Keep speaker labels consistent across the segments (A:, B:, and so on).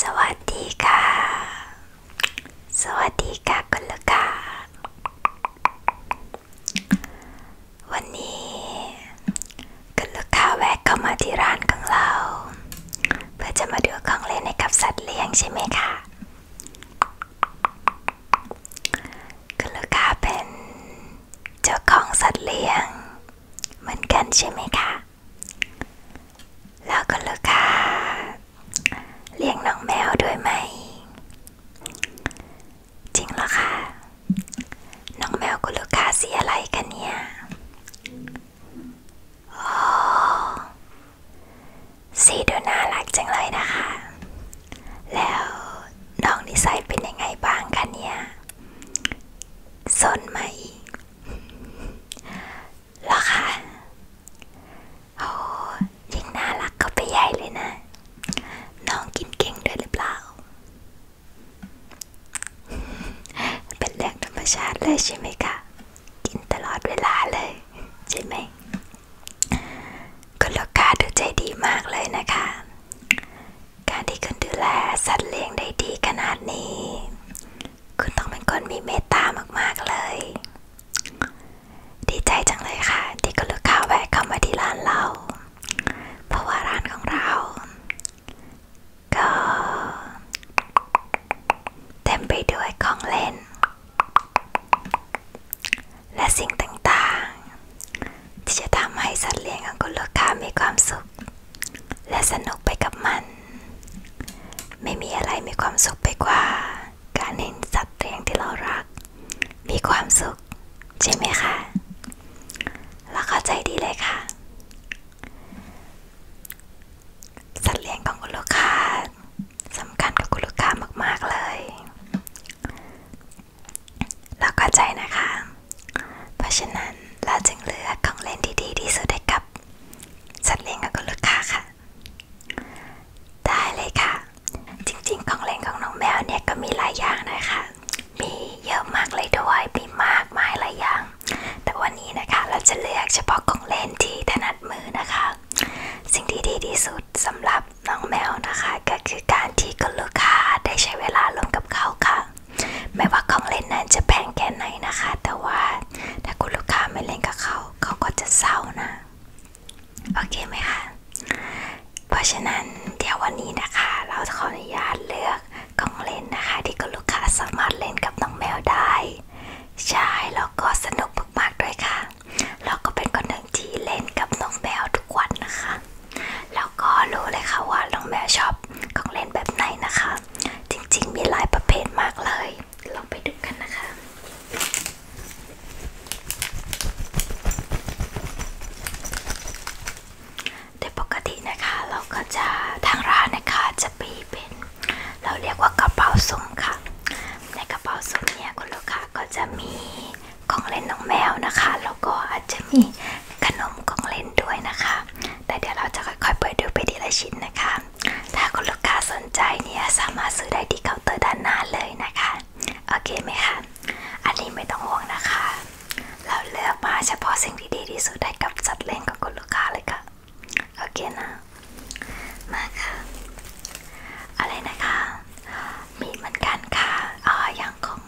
A: สวัสดีค่ะ สวัสดีค่ะคุณลูกค้า วันนี้คุณลูกค้าแวะเข้ามาที่ร้านของเราเพื่อจะมาดูของเล่นใหกับสัตว์เลี้ยงใช่ไหมคะ คุณลูกค้าเป็นเจ้าของสัตว์เลี้ยง เหมือนกันใช่ไหมคะแล้วก็ลูกค้าเลี้ยงน้องแมวด้วยไหมจริงเหรอคะน้องแมวคุณลูกค้าสีอะไรกันเนี่ยโอ้สีดูน่ารักจังเลยนะคะ แล้วน้องนิสัยเป็นยังไงบ้างคะเนี่ยสนไหมหรอคะโอ้ยิ่งน่ารักก็ไปใหญ่เลยนะ น้องกินเก่งด้วยหรือเปล่า เป็นเรื่องธรรมชาติเลยใช่ไหมคะ กินตลอดเวลาเลยใช่ไหมคุณลูกค้าดูใจดีมากเลยนะคะ การที่คุณดูแลสัตว์เลี้ยงได้ดีขนาดนี้คุณต้องเป็นคนมีเมตตามากๆ เลย ดีใจจังเลยค่ะ ที่คุณลูกค้าแวะเข้ามาที่ร้านเรา เพราะว่าร้านของเรา ก็ เต็มไปด้วยของเล่น และสิ่งต่างๆ ที่จะทำให้สัตว์เลี้ยงของคุณลูกค้ามีความสุขและสนุกไปกับมัน ไม่มีอะไรมีความสุขไปกว่า การเห็นสัตว์เลี้ยงที่เรารัก มีความสุขใช่ไหมคะเราเข้าใจดีเลยค่ะ สัตว์เลี้ยงของคุณลูกค้าสำคัญกับคุณลูกค้ามากๆเลยเราเข้าใจนะคะ เพราะฉะนั้นเราจึงเลือกของเล่นที่ดีที่สุดให้กับสัตว์เลี้ยงแล้วก็ลูกค้าค่ะได้เลยค่ะจริงๆของเล่นของน้องแมวเนี่ยก็มีหลายอย่างนะคะ มีเยอะมากเลยด้วยมีมากมายหลายอย่างแต่วันนี้นะคะเราจะเลือกเฉพาะของเล่นที่ถนัดมือนะคะ สิ่งที่ดีที่สุดสำหรับน้องแมวนะคะ ก็คือการที่คุณลูกค้าได้ใช้เวลาร่วมกับเขาค่ะไม่ว่าของเล่นนั้นจะแพงแค่ไหนนะคะ แต่ว่าถ้าคุณลูกค้าไม่เล่นกับเขาเขาก็จะเศร้านะโอเคไหมคะเพราะฉะนั้น เดี๋ยววันนี้นะคะ เราขออนุญาตเลือกของเล่นนะคะที่คุณลูกค้าสามารถเล่นกับน้องแมวได้ใช่แล้วก็สนุกมากๆด้วยค่ะแล้วก็เป็นคนหนึ่งที่เล่นกับน้องแมวทุกวันนะคะแล้วก็รู้เลยค่ะว่าน้องแมวชอบของเล่นแบบไหนนะคะจริงๆ มีหลายประเภทมากเลยลองไปดูกันนะคะโดยปกตินะคะเราก็จะทางร้านนะคะจะมีเป็น เราเรียกว่ากระเป๋าสุ่มค่ะ ในกระเป๋าสุ่มเนี่ยคุณลูกค้าก็จะมีของเล่นน้องแมวนะคะแล้วก็อาจจะมีขนมของเล่นด้วยนะคะ แต่เดี๋ยวเราจะค่อยๆเปิดดูไปทีละชิ้นนะคะถ้าคุณลูกค้าสนใจเนี่ยสามารถซื้อได้ที่เคาน์เตอร์ด้านหน้าเลยนะคะ โอเคไหมคะอันนี้ไม่ต้องห่วงนะคะ เราเลือกมาเฉพาะสิ่งที่ดีที่สุดให้กับสัตว์เลี้ยงของคุณลูกค้าเลยค่ะโอเคนะมาค่ะอะไรนะคะมีเหมือนกันค่ะอ่าอย่างของ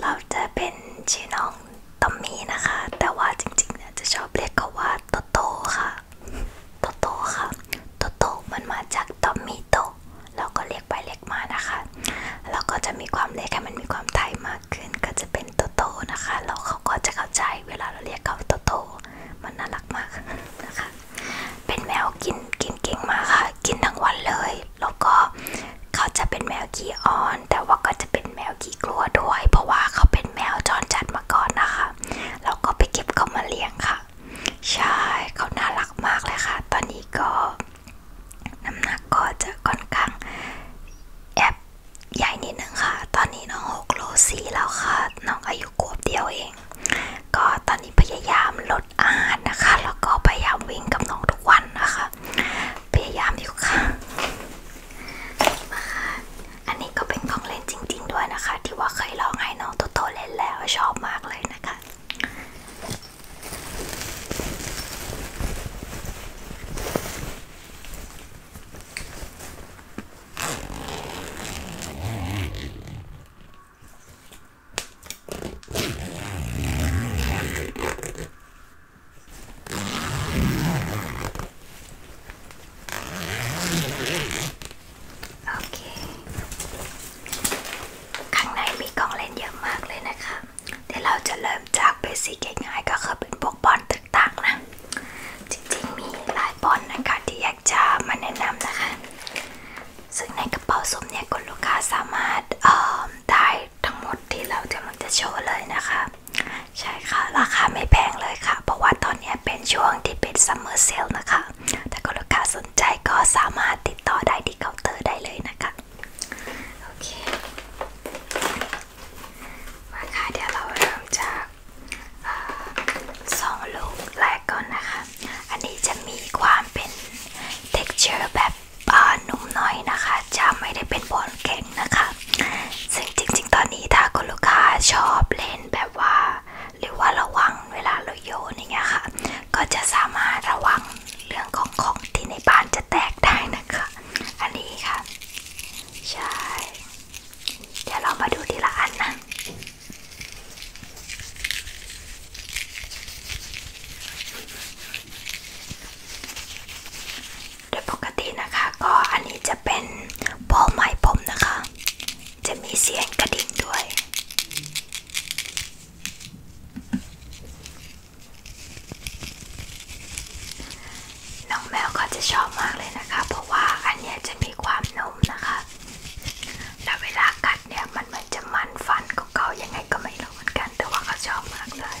A: เราจะเป็นชื่อน้องตอมมี่นะคะ แต่ว่าจริงๆเนี่ย จะชอบเรียกเขาว่าโตโต้ค่ะโตโต้ค่ะโตโต้มันมาจากตอมมี่โตเราก็เรียกไปเรียกมานะคะ แล้วก็จะมีความเล็กให้มันมีความไทยมากขึ้นก็จะเป็นโตโต้นะคะแล้วเขาก็จะเข้าใจเวลาเราเรียกเขาโตโต้มันน่ารักมากนะคะเป็นแมวกินกินเก่งมากค่ะ กินทั้งวันเลยแล้วก็เขาจะเป็นแมวขี้อ้อนแต่ว่าก็จะเป็นแมวขี้กลัวด้วย เพราะว่าเขาเป็นแมวจรจัดมาก่อนนะคะแล้วก็ไปเก็บเขามาเลี้ยงค่ะใช่เขาน่ารักมากเลยค่ะ ตอนนี้ก็น้ำหนักก็จะค่อนข้างแอบใหญ่นิดนึงค่ะ ตอนนี้น้องหกโลสี่แล้วค่ะ น้องอายุขวบเดียวเอง ก็ตอนนี้พยายามลดอาหารนะคะแล้วก็พยายามวิ่งกับน้องทุกวันนะคะพยายามอยู่ค่ะมาค่ะ อันนี้ก็เป็นของเล่นจริงๆด้วยนะคะที่ว่าเคยลองให้น้องโตโตเล่นแล้วชอบมากเลยนะคะข้างในมีกองเล่นเยอะมากเลยนะคะเี๋เราจะเริ่มจากเบสิง่ายก็คือเป็นพวกบอลต่างๆนะ จริงๆมีหลายบอลนะคะที่อยากจะมาแนะนำนะคะซึ่งในกระเป๋าสมเนี่ยคุณลูกค้าสามารถได้ทั้งหมดที่เราจะมันจะโชว์เลยนะคะใช่ค่ะ ราคาไม่แพงเลยค่ะ เพราะว่าตอนนี้เป็นช่วงที่เป็นซัมเมอร์เซลนะคะถ้าคุณลูกค้าสนใจก็สามารถติดต่อได้ที่เคาน์เตอร์ได้เลยนะคะ โอเค มาค่ะเดี๋ยวเราเริ่มจากสองลูกแรกก่อนนะคะ อันนี้จะมีความเป็น texture แบบนุ่มน้อยนะคะ จะไม่ได้เป็นบอลแข็งงนะคะซึ่งจริงๆ ตอนนี้ถ้าคุณลูกค้าชอบเล่นแบบว่า หรือว่าระวังเวลาเราโยนอย่างเงี้ยค่ะ ก็จะสามารถระวังเรื่องของของที่ในบ้านจะแตกได้นะคะ อันนี้ค่ะ ใช่ เดี๋ยวเรามาดูทีละอันนะโดยปกตินะคะก็อันนี้จะเป็นบอลไม้ผมนะคะ จะมีเสียงกระดิ่งด้วย น้องแมวก็จะชอบมากเลยนะคะ เพราะว่าอันนี้จะมีความนุ่มนะคะ แล้วเวลากัดเนี่ยมันเหมือนจะมันฟันเก่าๆยังไงก็ไม่รู้เหมือนกันแต่ว่าเขาชอบมากเลย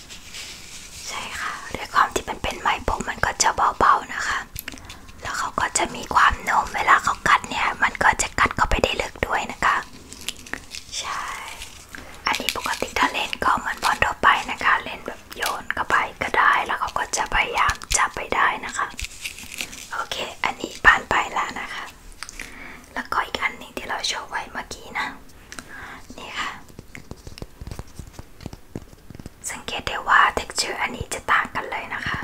A: ใช่ค่ะด้วยความที่มันเป็นไม้ผมมันก็จะเบาๆนะคะ แล้วเขาก็จะมีความนมเวลาเขากัดเนี่ย มันก็จะกัดเข้าไปได้ลึกด้วยนะคะใช่ อันนี้ปกติถ้าเล่นก็เหมือนบอลทั่วไปนะคะ เล่นแบบโยนเข้าไปก็ได้แล้วเขาก็จะพยายามจับไปได้นะคะโอเคอันนี้ผ่านไปแล้วนะคะแล้วก็อีกอันหนึ่งที่เราโชว์ไว้เมื่อกี้นะนี่ค่ะสังเกตได้ว่า texture อันนี้จะต่างกันเลยนะคะ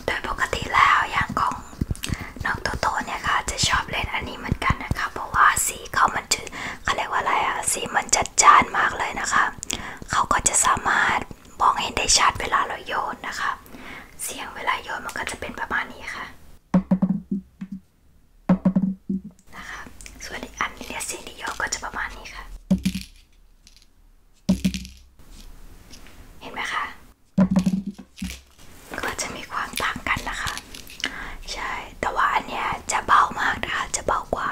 A: โดยปกติแล้วอย่างของน้องโตโตเนี่ยค่ะ จะชอบเล่นอันนี้เหมือนกันนะคะ เพราะว่าสีเขามันจะเขาเรียกว่าอะไรอะสีมันจัดจ้านมากเลยนะคะเขาก็จะสามารถมองเห็นได้ชัดเวลาเราโยนนะคะเสียงเวลาโยนมันก็จะเป็นประมาณนี้ค่ะนะคะส่วนอีกอันนี้เนี่ยเสียงที่โยนก็จะประมาณนี้ค่ะ เห็นไหมคะก็จะมีความต่างกันนะคะใช่แต่ว่าอันเนี้ยจะเบามากนะคะจะเบากว่า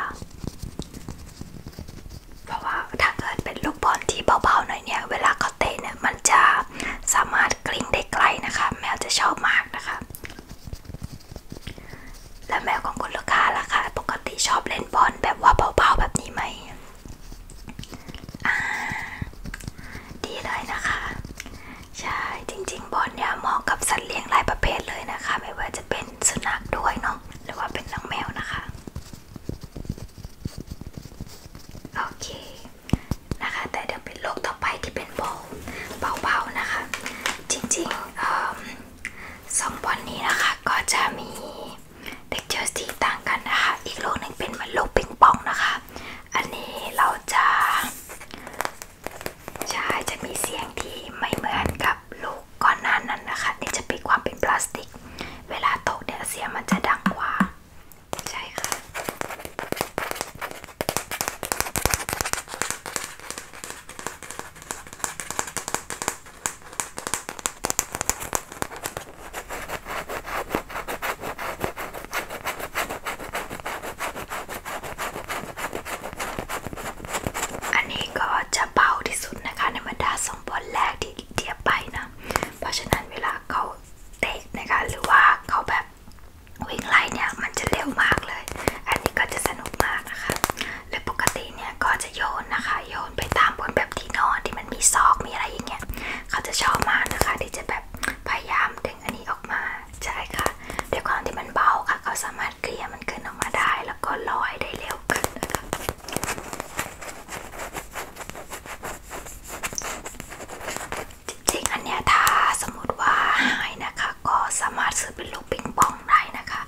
A: เพราะว่าถ้าเกิดเป็นลูกบอลที่เบาๆหน่อยเนี่ยเวลาเขาเตะเนี่ยมันจะสามารถกลิ้งได้ไกลนะคะ แมวจะชอบมากนะคะ และแมวของคุณลูกค้าล่ะคะ ปกติชอบเล่นบอลแบบว่าเบาๆแบบนี้ไหม ดีเลยนะคะ ใช่จริงๆบอลเนี่ยเหมาะกับสัตว์เลี้ยงหลายประเภทเลยนะคะ ไม่ว่าจะเป็นสุนัขด้วยเนาะหรือว่าเป็นน้องแมวนะคะโอเคนะคะ แต่เดี๋ยวเป็นโรคต่อไปที่เป็นเบาเบาๆนะคะ จริงๆสองบอลนี้นะคะก็จะมีเด็กเจอสีต่างกันนะคะอีกโรคหนึ่งเป็นเหมือนโรคปิงปองนะคะ อันนี้เราจะใช่จะมีเสียงที่ไม่เหมือนกับกับลูกก้อนหน้านั้นนะคะ นี่จะมีความเป็นพลาสติก เวลาตกเนี่ยเสียงมันจะดังกว่าใช่ค่ะ อันนี้ก็จะเบาที่สุดนะคะในบรรดาสองบอลแรกที่เทียบไปนะเพราะฉะนั้นเวลาเขาเตะนะคะหรือว่าเขาแบบวิ่งไล่เนี่ย มันจะเร็วมากเลย อันนี้ก็จะสนุกมากนะคะและปกติเนี่ย ก็จะโยนนะคะ โยนไปตามบนแบบที่นอนที่มันมีซอกมีอะไรอย่างเงี้ยเขาจะชอบมากนะคะที่จะแบบพยายามดึงอันนี้ออกมาใช่ค่ะด้วยความที่มันเบาค่ะเขาสามารถารถเกลี่ยมันขึ้นออกมาได้แล้วก็ลอยได้เร็วขึ้นนะคะจริงๆอันเนี้ยถ้าสมมติว่าหายนะคะก็สามารถซื้อเป็นลูกปิงปองได้นะคะ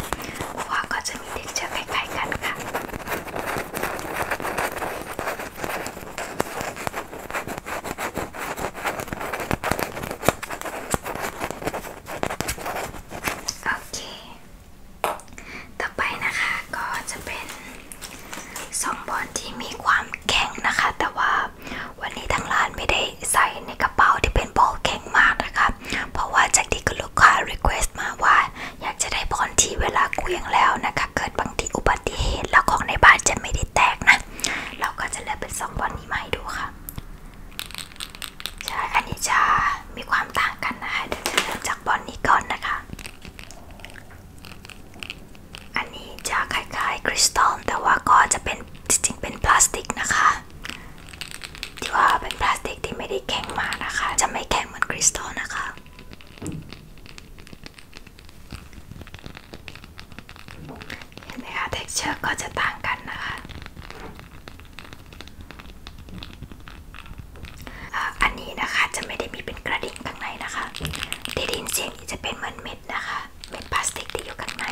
A: เพราะว่าก็จะมีเด็กเจอคล้ายๆกันค่ะโอเค ต่อไปนะคะก็จะเป็นสองบอลที่มีความแข็งนะคะ แต่ว่าวันนี้ทางร้านไม่ได้ใส่ในกระเป๋าที่เป็นบอลแข็งมากนะคะเพราะว่าจากที่คุณลูกค้า request มาว่า อยากจะได้บอลที่เวลาเกวียงแล้วนะคะ เกิดบางทีอุบัติเหตุ แล้วของในบ้านจะไม่ได้แตกนะ เราก็จะเลือกเป็นสองบอลนี้มาให้ดูค่ะใช่อันนี้จะมีความต่างกันนะคะเดี๋ยวจะเริ่มจากบอลนี้ก่อนนะคะ อันนี้จะคล้ายๆคริสตัลแต่ว่าก็จะเป็นจริงๆเป็นพลาสติกนะคะ ที่ว่าเป็นพลาสติกที่ไม่ได้แข็งมากนะคะ จะไม่แข็งเหมือนคริสตัลนะคะเห็นไหมคะ texture ก็จะต่างกันนะคะอันนี้นะคะจะไม่ได้มีเป็นกระดิ่งข้างในนะคะได้ยิเสียงจะเป็นเหมือนเม็ดนะคะ เม็ดพลาสติกที่อยู่ข้างใน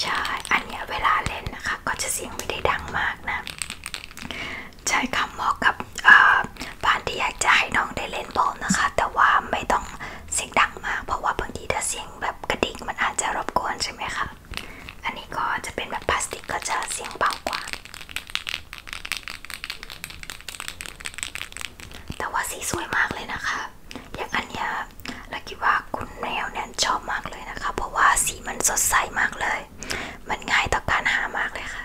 A: ใช่ อันนี้เวลาเล่นนะคะก็จะเสียงไม่ได้ดังมากนะใช่ค่ะเหกับบานที่อยากจะให้น้องได้เล่นบอลนะคะ แต่ว่าไม่ต้องเสียงดังมากเพราะว่าบางทีถ้าเสียงแบบกระดิ่งมันอาจจะรบกวนใช่ไหมคะอันนี้ก็จะเป็นแบบพลาสติกก็จะเสียงเบากว่า แต่ว่าสีสวยมากเลยนะคะอย่างอันเนี้ยเราคิดว่าคุณแมวเนี่ยชอบมากเลยนะคะ เพราะว่าสีมันสดใสมากเลย มันง่ายต่อการหามากเลยค่ะ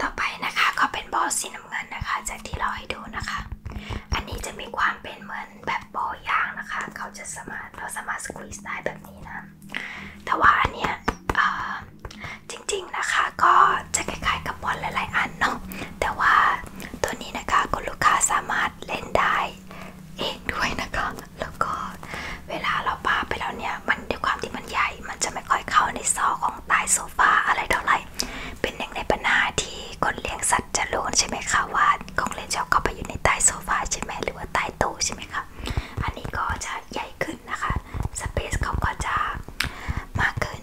A: ต่อไปนะคะก็เป็นบอลสีน้ำเงินนะคะจากที่เราให้ดูนะคะอันนี้จะมีความเป็นเหมือนแบบบอลยางนะคะเขาจะสามารถเราสามารถสควีซได้แบบนี้นะแต่ว่าอันเนี้ยจริงๆนะคะก็จะคล้าย ๆกับบอลหลายๆ อันเนาะแต่ว่าตัวนี้นะคะคุณลูกค้าสามารถเล่นได้เองด้วยนะคะแล้วก็เวลาเราปาไปแล้วเนี่ยมันด้วยความที่มันใหญ่มันจะไม่ค่อยเข้าในซอกของใต้โซฟาอะไรเท่าไหร่เป็นหนึ่งในปัญหาที่คนเลี้ยงสัตว์จะรู้ใช่ไหมคะว่าของเล่นชอบเข้าไปอยู่ในใต้โซฟาใช่ไหมหรือว่าใต้โต๊ะใช่ไหมคะ อันนี้ก็จะใหญ่ขึ้นนะคะ สเปซเขาก็จะมากขึ้น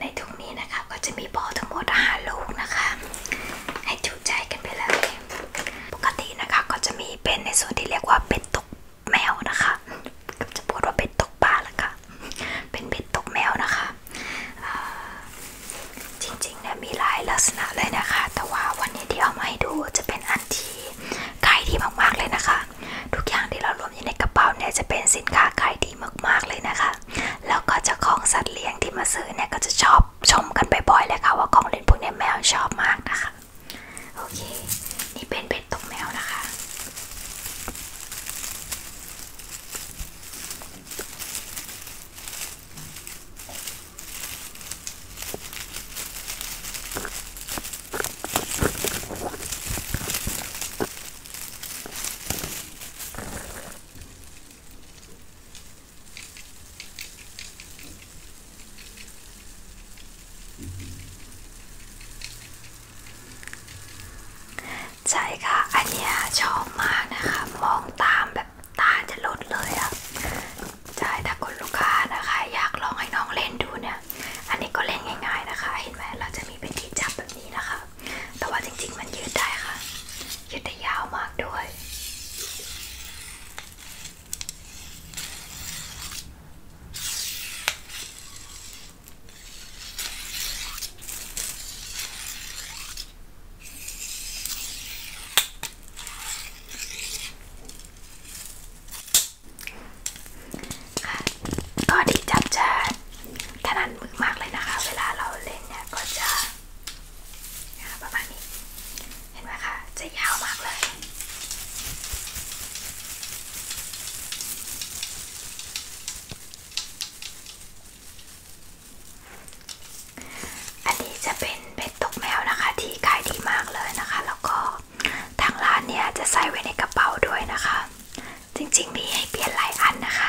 A: ในถุงนี้นะคะก็จะมีบอลทั้งหมดห้าลูกนะคะ ให้จูใจกันไปเลยปกตินะคะก็จะมีเป็นในส่วนที่เรียกว่าเป็ดตกแมวนะคะ ก็จะพูดว่าเป็ดตกปลาละค่ะเป็นเป็ดตกแมวนะคะจริงๆเนี่ยมีหลายลักษณะเลยนะคะ แต่ว่าวันนี้ที่เอามาให้ดูจะเป็นอันที่ขายดีมากๆเลยนะคะ ทุกอย่างที่เรารวมอยู่ในกระเป๋าเนี่ยจะเป็นสินค้าขายดีมากๆเลยนะคะแล้วก็จะของสัตว์เลี้ยงที่มาซื้อเนี่ยก็จะชอบชมกันบ่อยๆเลยค่ะ ว่าของเล่นพวกนี้แมวชอบมากนะคะ โอเค นี่เป็นเป็ดตกแมวนะคะใช่ค่ะอันนี้ชอบมากนะคะ มองตามแบบตาจะลดเลยอะ่ะใช่ถ้าคุณลูกค้านะคะ อยากลองให้น้องเล่นดูเนี่ย อันนี้ก็เล่นง่าย ๆ นะคะ เห็นไหม เราจะมีเป็นที่จับแบบนี้นะคะแต่ว่าจริงๆมันยืดได้ค่ะ ยืดได้ยาวมากด้วยค่ะก็ดีจับจานถนัดมือมากเลยนะคะ เวลาเราเล่นเนี่ยก็จะประมาณนี้เห็นไหมคะจะยาวมากเลย อันนี้จะเป็นเบ็ดตกแมวนะคะที่ขายดีมากเลยนะคะ แล้วก็ทางร้านเนี่ยจะใส่ไว้ในกระเป๋าด้วยนะคะ จริงๆ มีให้เปลี่ยนหลายอันนะคะ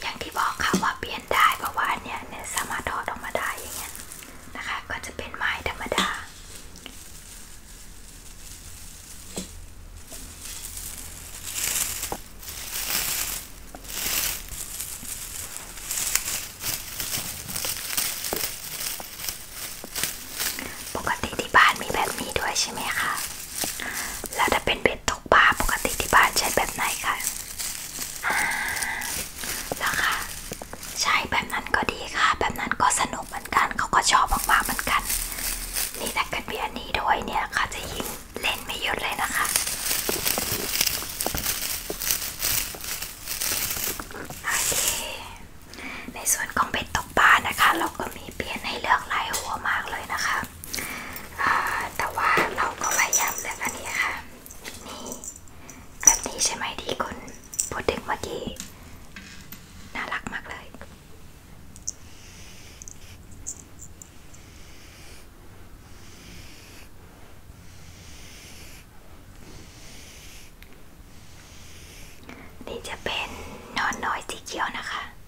A: อย่างที่บอกค่ะว่าเปลี่ยนได้ เพราะว่าเนี้ยเนสามรถถอดออมด้อย่างเงี้ยนะคะก็จะเป็นไม้ธรรมดา ปกติที่บ้านมีแบบนี้ด้วยใช่ไหมคะแล้วถ้าเป็นเบ็ดตกปลาปกติที่บ้านใช้แบบไหนคะแล้วค่ะใช้แบบนั้นก็ดีค่ะ แบบนั้นก็สนุกเหมือนกัน เขาก็ชอบมากๆเหมือนกัน นี่ถ้ากิดมีอันนี้ดวยเนี่ยค่ะจะยิงเลนไม่หยุดเลยนะคะในส่วนของเบ็ดตกปลานะคะ เราก็มีเปลี่ยนให้เลือกหลายหัวมากเลยนะคะแต่ว่าเราก็พยายามเลือกอันนี้ค่ะ นี่แบบนี้ใช่ไหมที่คุณพูดถึงเมื่อกี้น่ารักมากเลย นี่จะเป็นนอนน้อยสีเขียวนะคะ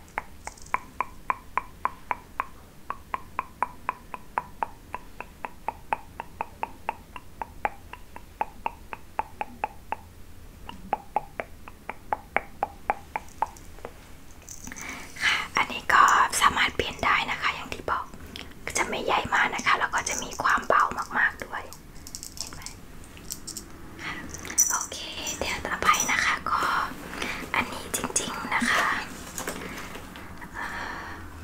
A: ค่ะ อันนี้ก็สามารถเปลี่ยนได้นะคะ อย่างที่บอกจะไม่ใหญ่มากนะคะ แล้วก็จะมีความเบามากๆด้วย เห็นไหมค่ะโอเค เดี๋ยวต่อไปนะคะก็อันนี้จริงๆนะคะ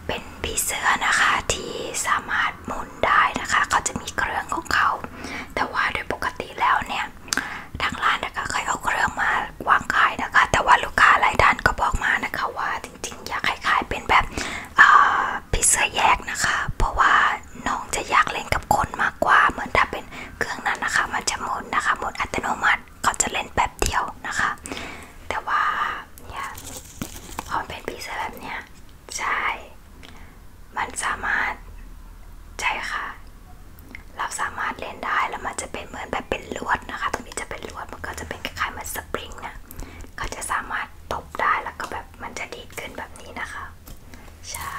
A: เป็นผีเสื้อนะคะที่สามารถหมุนได้นะคะเขาจะมีเครื่องของเขา แต่ว่าโดยปกติแล้วเนี่ย ทางร้านนะคะเคยเอาเครื่องมาวางขายนะคะ แต่ว่าลูกค้าหลายท่านก็บอกมานะคะว่าจริงๆ อยากขายเป็นแบบผีเสื้อแยกนะคะ เพราะว่าน้องจะอยากเล่นกับคนมากากกว่าเหมือนถ้าเป็นเครื่องนั้นนะคะมันจะหมุนนะคะหมุนอัตโนมัติเขาจะเล่นแบบเดียวนะคะ แต่ว่าเนี่ยพอเป็นพีเซอร์แบบเนี้ยใช่ มันสามารถใช่ค่ะ เราสามารถเล่นได้แล้วมันจะเป็นเหมือนแบบเป็นลวดนะคะตรงนี้จะเป็นลวดมันก็จะเป็นคล้ายๆเหมือนสปริงนะเขาจะสามารถตบได้แล้วก็แบบมันจะดีดขึ้นแบบนี้นะคะ ใช่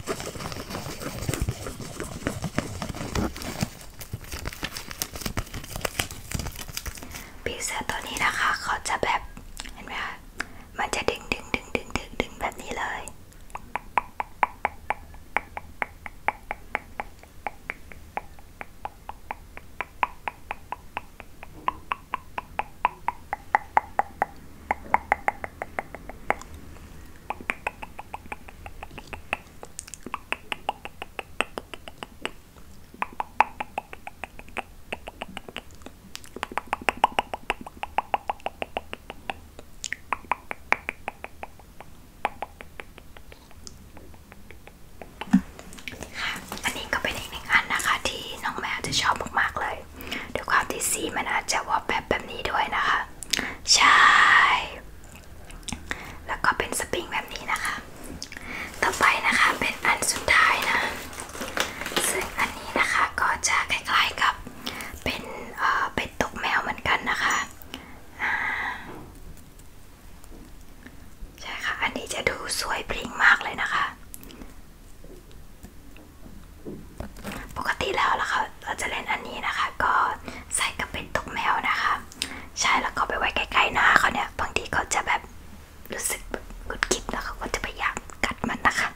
A: ปีเสือตัวนี้นะคะเขาจะแบบ เห็นไหมคะมันจะดึงดึงดึงดึงดึงดึงแบบนี้เลยอันนี้ก็เป็นอีกหนึ่งอันนะคะ ที่น้องแมวจะชอบมากๆเลยด้วยความที่สีมันอาจจะวอลแบบแบบนี้ด้วยนะคะ ใช่ แล้วก็เป็นสปริงแบบนี้นะคะ ต่อไปนะคะเป็นอันสุดท้ายนะซึ่งอันนี้นะคะก็จะคล้ายๆกับเป็นเอ่อเป็นตกแมวเหมือนกันนะคะใช่ค่ะ อันนี้จะดูสวยพริ้งมากเลยนะคะปกติแล้วนะคะเราจะเล่นอันนี้นะคะ ก็ใส่กระเป็นตกแมวนะคะใช่แล้วก็ไปไว้ใกล้ๆหน้าเขาเนี่ยบางทีเขาจะแบบรู้สึกกุดกิบแล้วเขาก็จะพยายามกัดมันนะคะ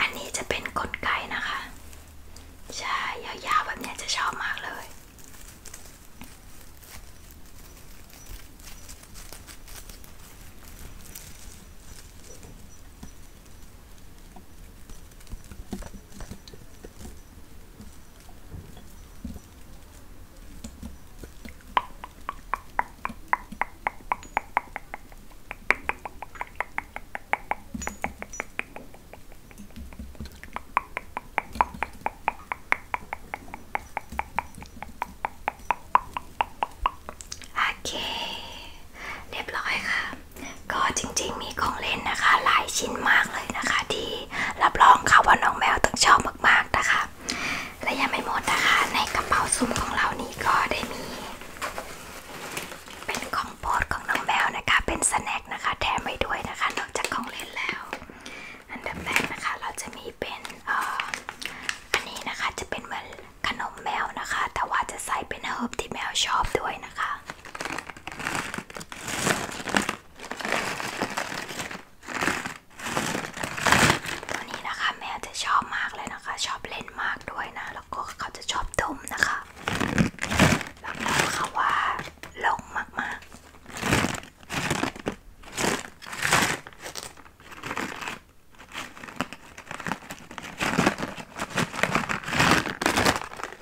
A: อันนี้จะเป็นกลไกนะคะ ใช่ ยาวๆแบบนี้จะชอบมากเลยอัโอเค เรียบร้อยค่ะก็จริงๆมีของเล่นนะคะ หลายชิ้นมากเลยนะคะทีรับรองค่ะว่าน้องแมวต้องชอบมากๆนะคะ และยังไม่หมดนะคะในกระเป๋าซุ้มของเรานี้ก็ได้มีเป็นของโปรดของน้องแมวนะคะเป็นสแน็คนะคะแถมไปด้วยนะคะนอกจากของเล่นแล้ว อันดับแรกนะคะเราจะมีเป็นออันนี้นะคะจะเป็นเหมือนขนมแมวนะคะแต่ว่าจะใส่เป็นเฮิร์บที่แมวชอบด้วยนะคะตัวนี้นะคะ แม่จะชอบมากเลยนะคะ ชอบเล่นมากด้วยนะ แล้วก็เขาจะชอบดมนะคะแล้วก็เขาว่าลงมากๆ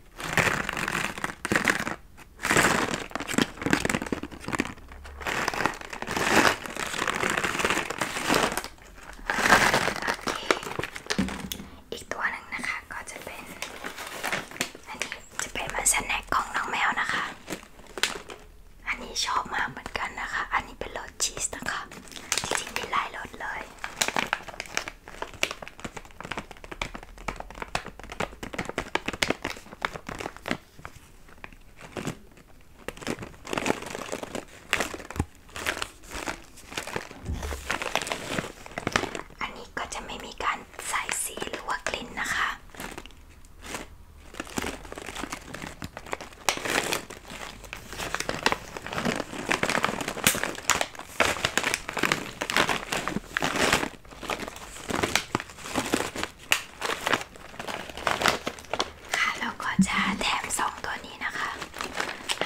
A: อีกตัวหนึ่งนะคะก็จะเป็น อันนี้จะเป็นมันสแน็คของน้องแมวนะคะ อันนี้ชอบมากเหมือนกันนะคะ อันนี้เป็นรสชีสนะคะ จริงๆมีหลายรสเลยอันนี้ก็จะไม่มีการใส่สีหรือว่ากลิ่นนะคะค่ะแล้วก็จะแถมสองตัวนี้นะคะ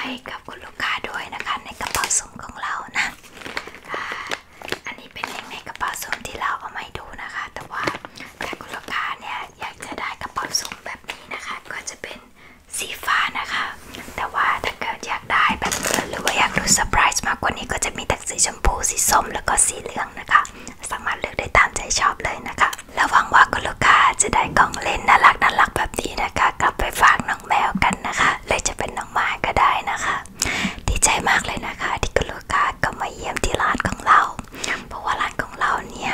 A: ให้กับคุณลูกค้าด้วยนะคะ ในกระเป๋าสุ่มของเรานะอันนี้เป็นเองในกระเป๋าสุ่มที่เราเอาไม่ดูนะคะ แต่ว่าถ้าคุณลูกค้าเนี่ยอยากจะได้กระเป๋าสุ่มแบบนี้นะคะก็จะเป็นสีฟ้านะคะ แต่ว่าถ้าเกิดอยากได้แบบหรือว่าอยากดูเซอร์ไพรส์มากกว่านี้ก็จะมีแต่สีชมพู สีส้ม แล้วก็สีเหลืองนะคะ สามารถเลือกได้ตามใจชอบเลยนะคะ แล้วหวังว่าคุณลูกค้าจะได้กล่องเล่นน่ารักน่ารักแบบนี้นะคะ กลับไปฝากน้องแมวกันนะคะเลยจะเป็นน้องหมาก็ได้นะคะ ดีใจมากเลยนะคะ ที่คุณลูกค้าก็มาเยี่ยมที่ร้านของเรา เพราะว่าร้านของเราเนี่ย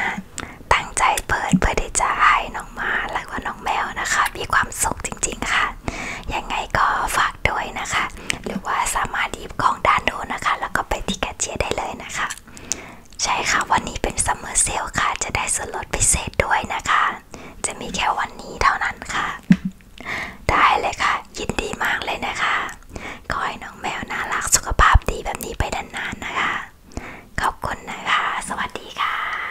A: ตั้งใจเปิดเพื่อที่จะให้น้องหมาและว่าน้องแมวนะคะ มีความสุขจริงๆค่ะยังไงก็ฝากด้วยนะคะ หรือว่าสามารถหยิบของด้านโน้นนะคะ แล้วก็ไปที่แคชเชียร์ได้เลยนะคะ ใช่ค่ะวันนี้เป็นซัมเมอร์เซลค่ะ จะได้ส่วนลดพิเศษด้วยนะคะ จะมีแค่วันนี้เท่านั้นค่ะ ได้เลยค่ะ ยินดีมากเลยนะคะ ขอให้น้องแมวน่ารักสุขภาพดีแบบนี้ไปนานๆนะคะ ขอบคุณนะคะ สวัสดีค่ะ